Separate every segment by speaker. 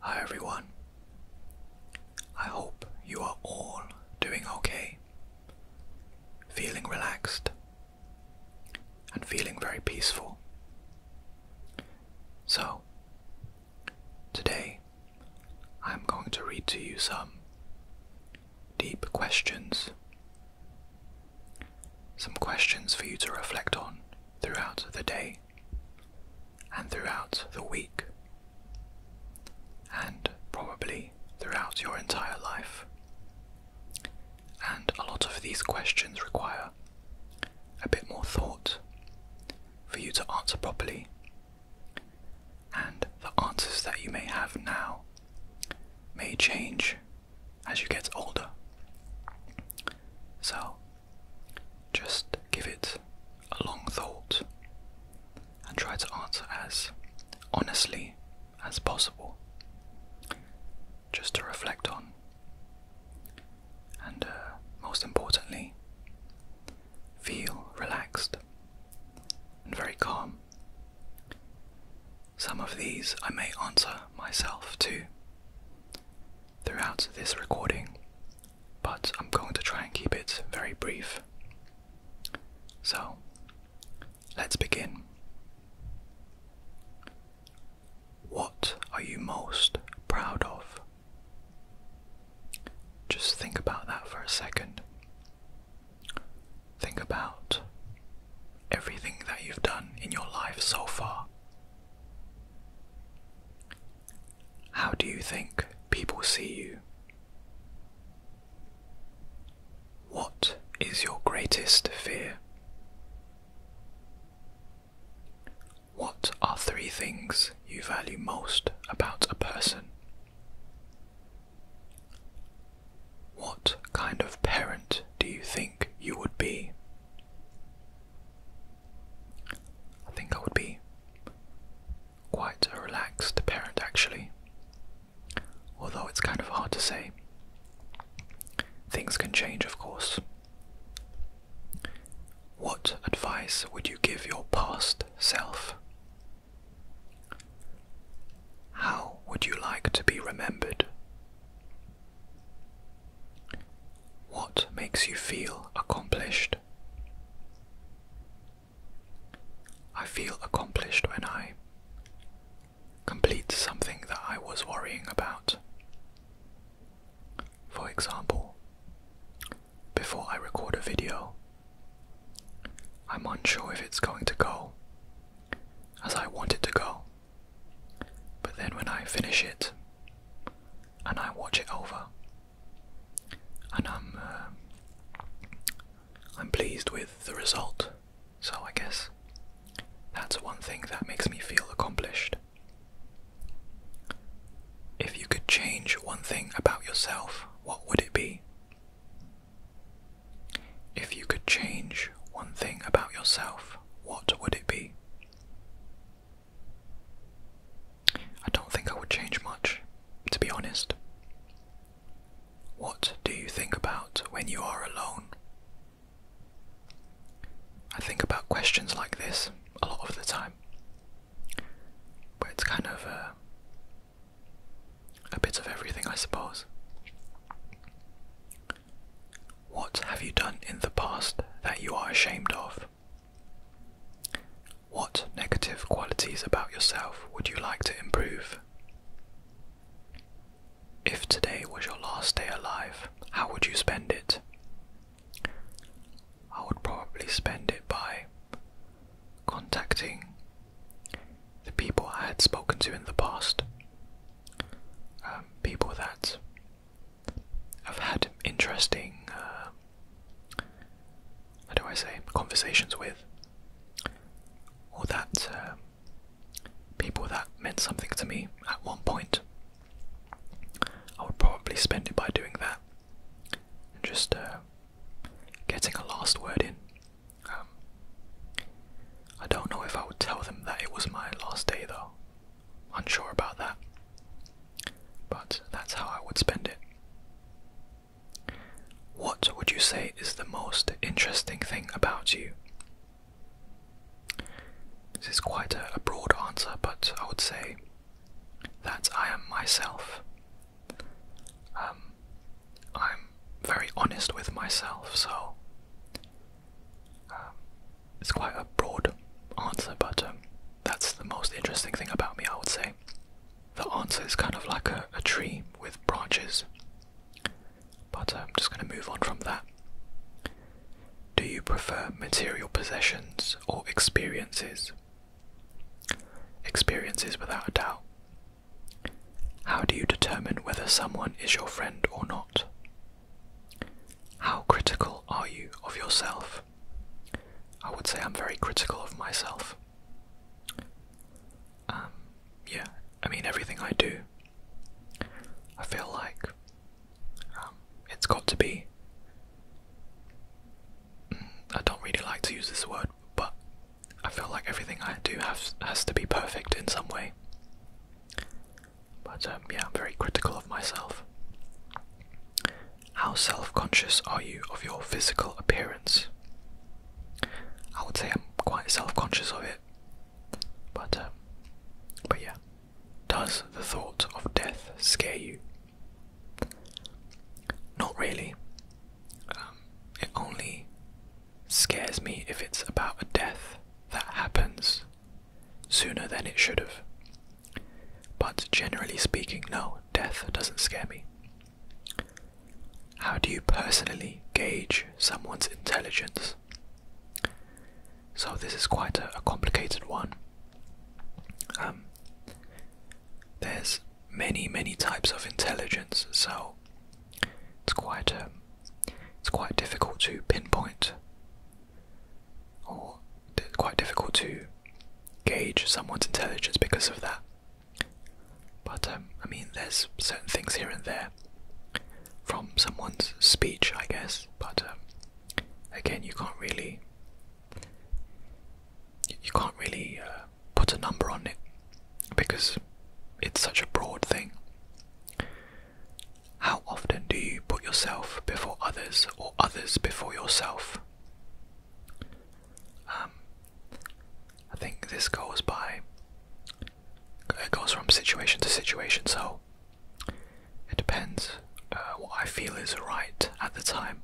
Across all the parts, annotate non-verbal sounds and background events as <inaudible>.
Speaker 1: Hi everyone. I hope you are all doing okay, feeling relaxed, and feeling very peaceful. So, today I'm going to read to you some deep questions some questions for you to reflect on throughout the day and throughout the week and probably throughout your entire life. And a lot of these questions require a bit more thought for you to answer properly. And the answers that you may have now may change as you get older. So just give it a long thought and try to answer as honestly as possible. Just to reflect on. And uh, most importantly, feel relaxed and very calm. Some of these I may answer myself to throughout this recording, but I'm going to try and keep it very brief. So, let's begin. What are you most proud of? Just think about that for a second. Think about everything that you've done in your life so far. How do you think people see you? What is your greatest fear? What are three things you value most about a person? What kind of parent do you think you would be? I think I would be quite a relaxed parent, actually. Although it's kind of hard to say. Things can change, of course. What advice would you give your past self? How would you like to be remembered? What makes you feel accomplished? I feel accomplished when I complete something that I was worrying about. For example, before I record a video, I'm unsure if it's going to go as I want it to go. But then when I finish it and I watch it over, and I'm uh, I'm pleased with the result. So I guess that's one thing that makes me feel accomplished. If you could change one thing about yourself, what would it be? If you could change one thing about yourself, what would it be? I don't think I would change much, to be honest. What do you think about when you are alone? I think about questions like this a lot of the time, but it's kind of uh, a bit of everything, I suppose. What have you done in the past that you are ashamed of? What negative qualities about yourself would you like to improve? If today was your last day alive, how would you spend it? I would probably spend it by contacting the people I had spoken to in the past, um, people that have had interesting, uh, how do I say, conversations with, or that um, people that meant something to me at one point. I would probably spend it by doing that and just uh, getting a last word in. Um, I don't know if I would tell them that it was my last day though. Unsure about that. But that's how I would spend it. What would you say is the most interesting thing about you? This is quite a broad answer, but I would say that I am myself. Um, I'm very honest with myself, so um, it's quite a broad answer, but um, that's the most interesting thing about me, I would say. The answer is kind of like a tree with branches, but I'm just going to move on from that. Do you prefer material possessions or experiences? Experiences, without a doubt. How do you determine whether someone is your friend or not? How critical are you of yourself? I would say I'm very critical of myself. Um, yeah, I mean, everything I do, I feel like um, it's got to be. Mm, I don't really like to use this word, but I feel like everything I do have has to be perfect in some way. But um, yeah, I'm very critical of myself. How self conscious are you of your physical appearance? I would say I'm quite self conscious of it. But, um, but yeah. Does the thought of death scare you? Not really. Um, it only scares me if it's about a death that happens sooner than it should have. But generally speaking, no, death doesn't scare me. How do you personally gauge someone's intelligence? So, this is quite a, complicated one. Um, there's many many types of intelligence so it's quite um, it's quite difficult to pinpoint or quite difficult to gauge someone's intelligence because of that but um, I mean there's certain things here and there from someone's speech I guess but um, again you can't really you can't really uh, put a number on it because it's such a broad thing. How often do you put yourself before others or others before yourself? Um, I think this goes by. It goes from situation to situation, so it depends uh, what I feel is right at the time.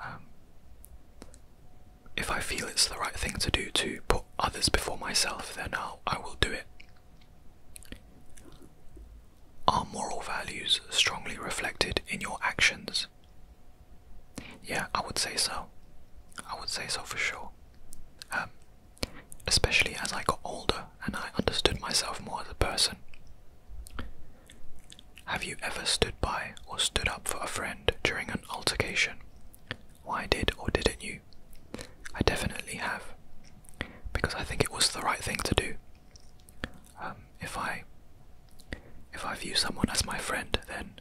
Speaker 1: Um, if I feel it's the right thing to do to put others before myself, then I'll, I will do it. Are moral values strongly reflected in your actions? Yeah, I would say so. I would say so for sure. Um, especially as I got older and I understood myself more as a person. Have you ever stood by or stood up for a friend during an altercation? Why did or didn't you? I definitely have. Because I think it was the right thing to do. Um, if I if I view someone as my friend, then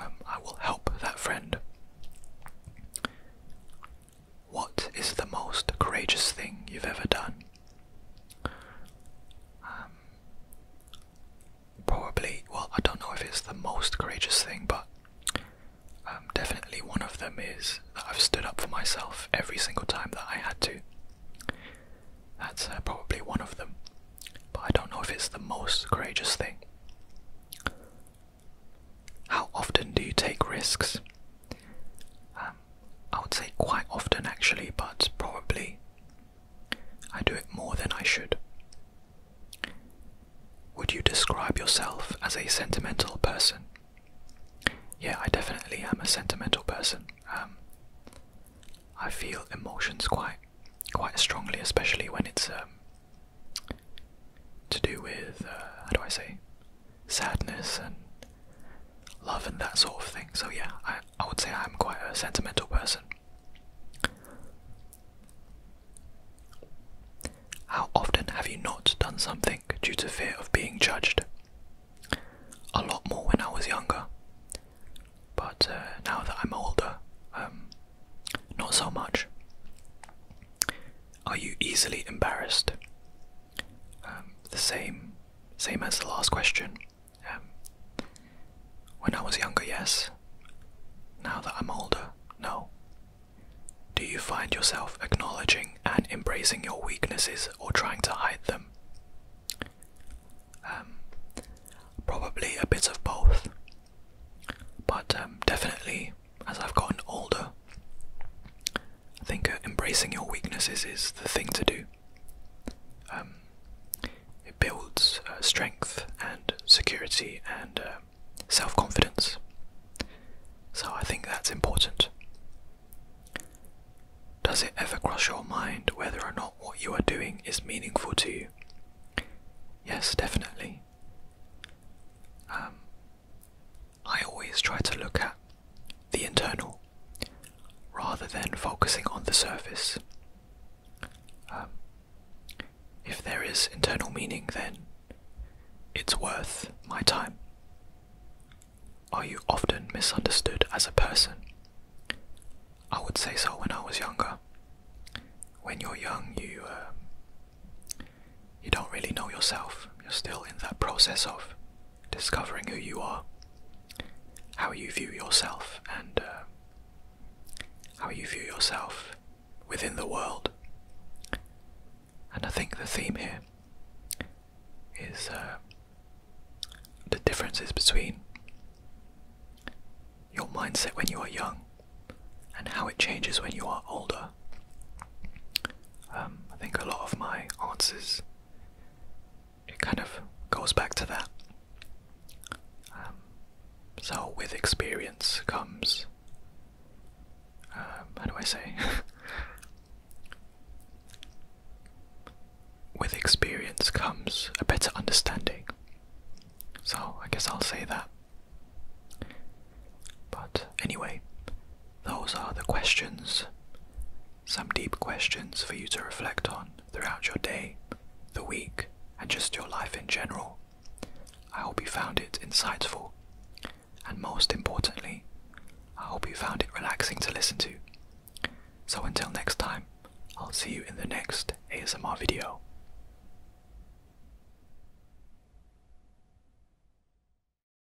Speaker 1: um, I will help that friend. What is the most courageous thing you've ever done? Um, probably, well, I don't know if it's the most courageous thing, but um, definitely one of them is that I've stood up for myself every single time that I had to. That's uh, probably one of them, but I don't know if it's the most courageous thing. How often do you take risks? Um, I would say quite often actually, but probably I do it more than I should. Would you describe yourself as a sentimental person? Yeah, I definitely am a sentimental person. Um, I feel emotions quite, quite strongly, especially when it's um, to do with uh, how do I say, sadness and love and that sort of thing. So yeah, I, I would say I'm quite a sentimental person. How often have you not done something due to fear of being judged? A lot more when I was younger, but uh, now that I'm older, um, not so much. Are you easily embarrassed? Um, the same, same as the last question. Um, when I was younger, yes. Now that I'm older, no. Do you find yourself acknowledging and embracing your weaknesses or trying to hide them? Um, probably a bit of both. But definitely, as I've gotten older, I think uh, embracing your weaknesses is the thing to do. Um, it builds uh, strength and security and uh, self confidence. So I think that's important. Does it ever cross your mind whether or not what you are doing is meaningful to you? Yes, definitely. Um, I always try to look at the internal rather than focusing on the surface. Um, if there is internal meaning, then it's worth my time. Are you often misunderstood as a person? I would say so when I was younger. When you're young, you um, you don't really know yourself. You're still in that process of discovering who you are, how you view yourself, and uh, how you view yourself within the world. And I think the theme here is uh, the differences between your mindset when you are young and how it changes when you are older. Um, I think a lot of my answers it kind of goes back to that. Um, so, with experience comes. Um, how do I say? <laughs> with experience comes a better understanding. So, I guess I'll say that. But anyway, those are the questions. Some deep questions for you to reflect on throughout your day, the week, and just your life in general. I hope you found it insightful, and most importantly, I hope you found it relaxing to listen to. So until next time, I'll see you in the next ASMR video.